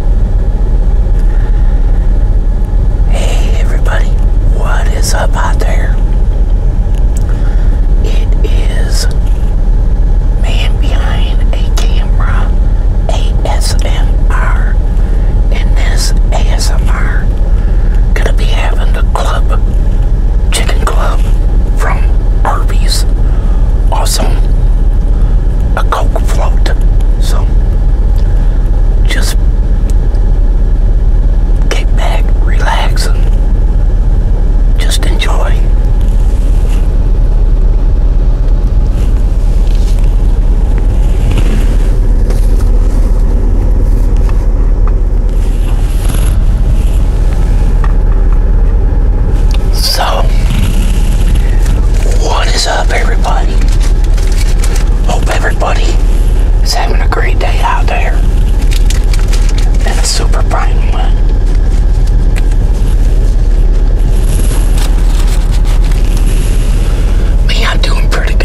Hey everybody, what is up out there? It is Man Behind a Camera ASMR. In this ASMR, gonna be having the club, chicken club from Arby's. Some a Coke float. Some just get back, relax, and just enjoy. So, what is up, everybody? Hope everybody is having a great day out there. And a super bright one. Me, I'm doing pretty good.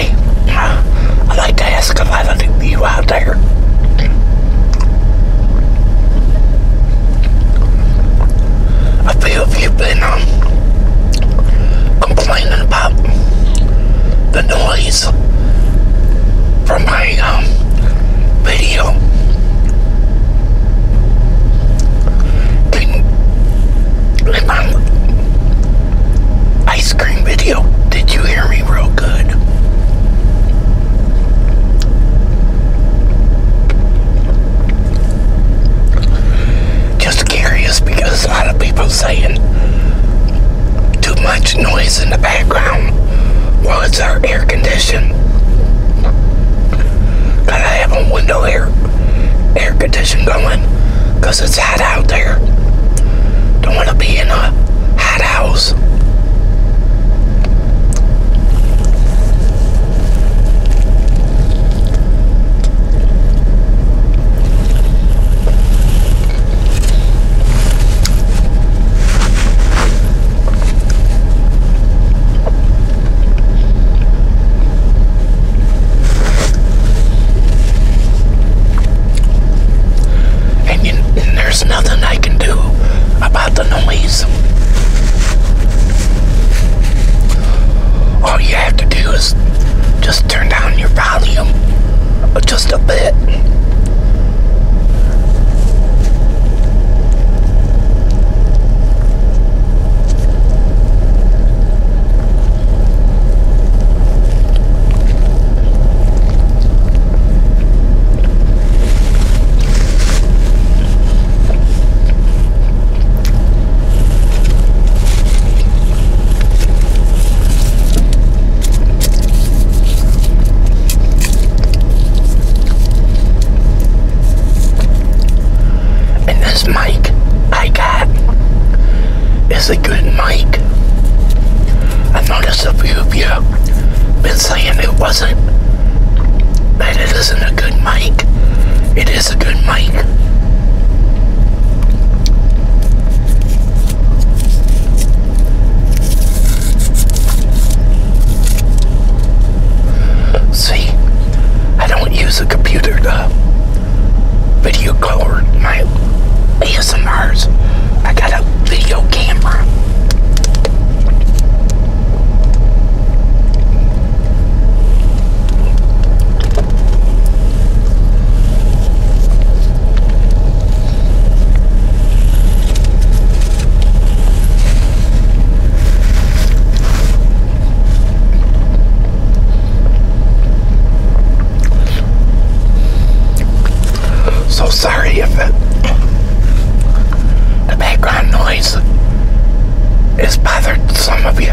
I'd like to ask a lot of you out there. A few of you been um, complaining about the noise from my um, video ice cream video. Did you hear me real good? Just curious because a lot of people saying too much noise in the background while it's our air condition. got have a window air air condition going it's hot out there. Don't want to be in a hot house. And, there's nothing I can do about the noise. All you have to do is just turn down your volume just a bit. And this mic I got it's a good mic. I noticed a few of you been saying it wasn't, that it isn't a good mic. It is a good mic. See, I don't use a computer to video color my ASMRs. I got a video camera. So sorry if it, the background noise has bothered some of you.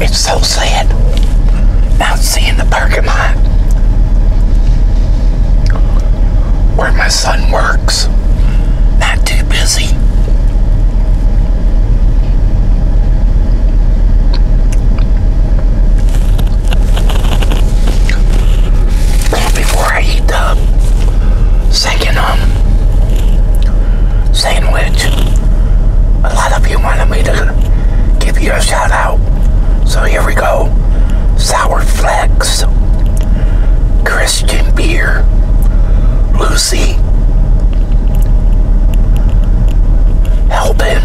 It's so sad. Now see in the parking lot where my son works. Not too busy. Before I eat the second um, sandwich, a lot of you wanted me to give you a shout So here we go. Sour Flex, Christian Beer, Lucy, Helpin,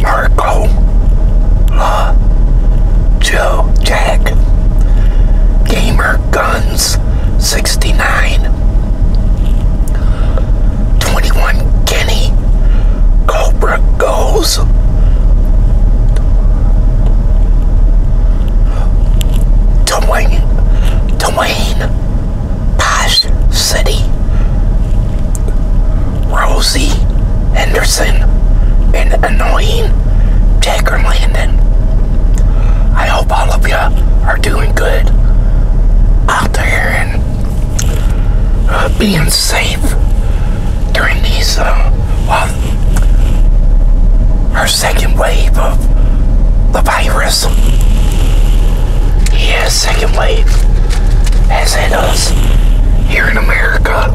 Marco, La, Joe, Jack, Gamer Guns, 69, 21 Kenny Cobra goes. Dwayne, Dwayne, Posh City, Rosie Henderson, and Annoying Jagger Landon. I hope all of you are doing good out there uh, being safe during these, uh, our second wave of the virus. yes, second wave has hit us here in America.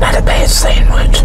Not a bad sandwich.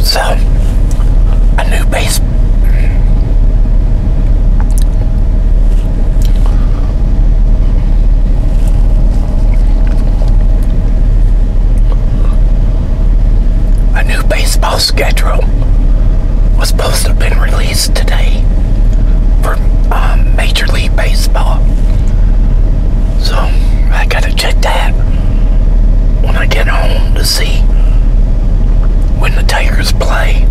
So, a new base. A new baseball schedule was supposed to have been released released today for um, Major League Baseball. So I gotta check that when I get home to see when the Tigers play.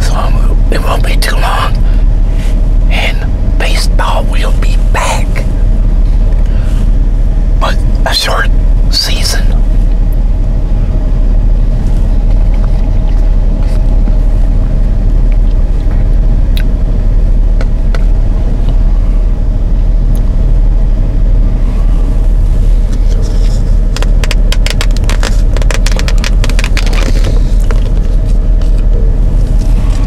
So it won't be too long. And baseball will be back, but a short season.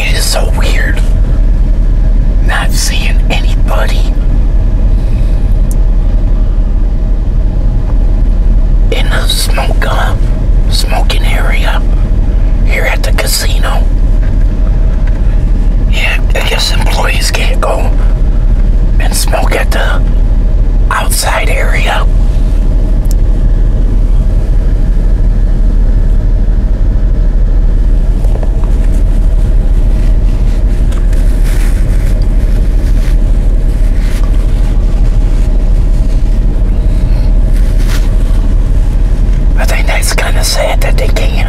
It is so weird not seeing anybody in the smoke uh, smoking area here at the casino. Yeah, I guess employees can't go and smoke at the outside area. I think that's kind of sad that they can't.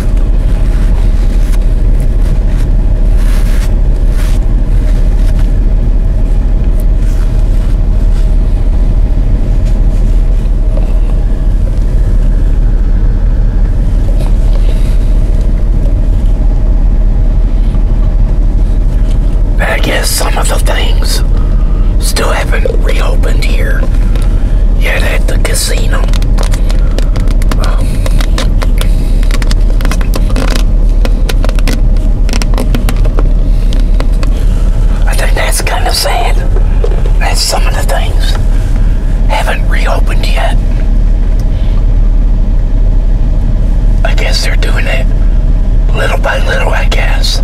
I guess some of the things still haven't reopened here yet at the I think that's kind of sad that some of the things haven't reopened yet. I guess they're doing it little by little, I guess.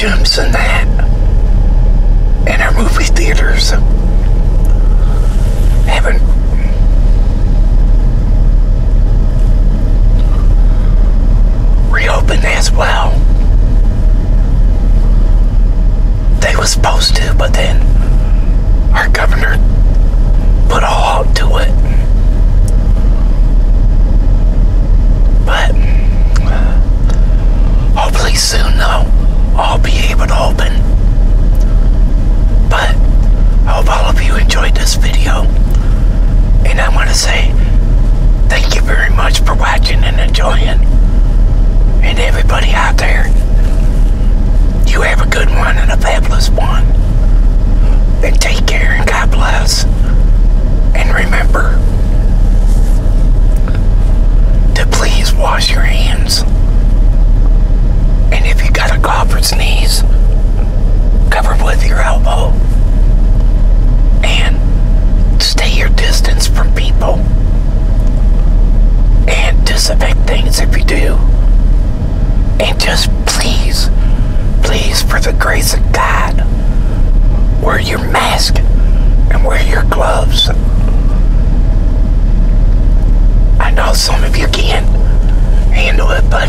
gyms and that, and our movie theaters haven't reopened as well. They were supposed to, but then our governor put a halt to it. But hopefully soon though I'll be able to open. But I hope all of you enjoyed this video. And I want to say thank you very much for watching and enjoying. And everybody out there, you have a good one and a fabulous one. And take care and God bless. And remember, to please wash your hands. And if you got a cough or sneeze, cover with your elbow. And stay your distance from people. And disinfect things if you do. And just please, please, for the grace of God, where you your mask and wear your gloves. I know some of you can handle it, but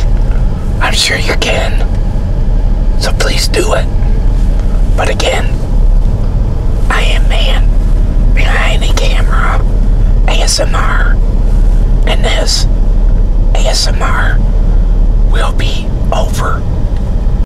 I'm sure you can. So please do it. But again, I am man behind the camera ASMR, and this ASMR will be over.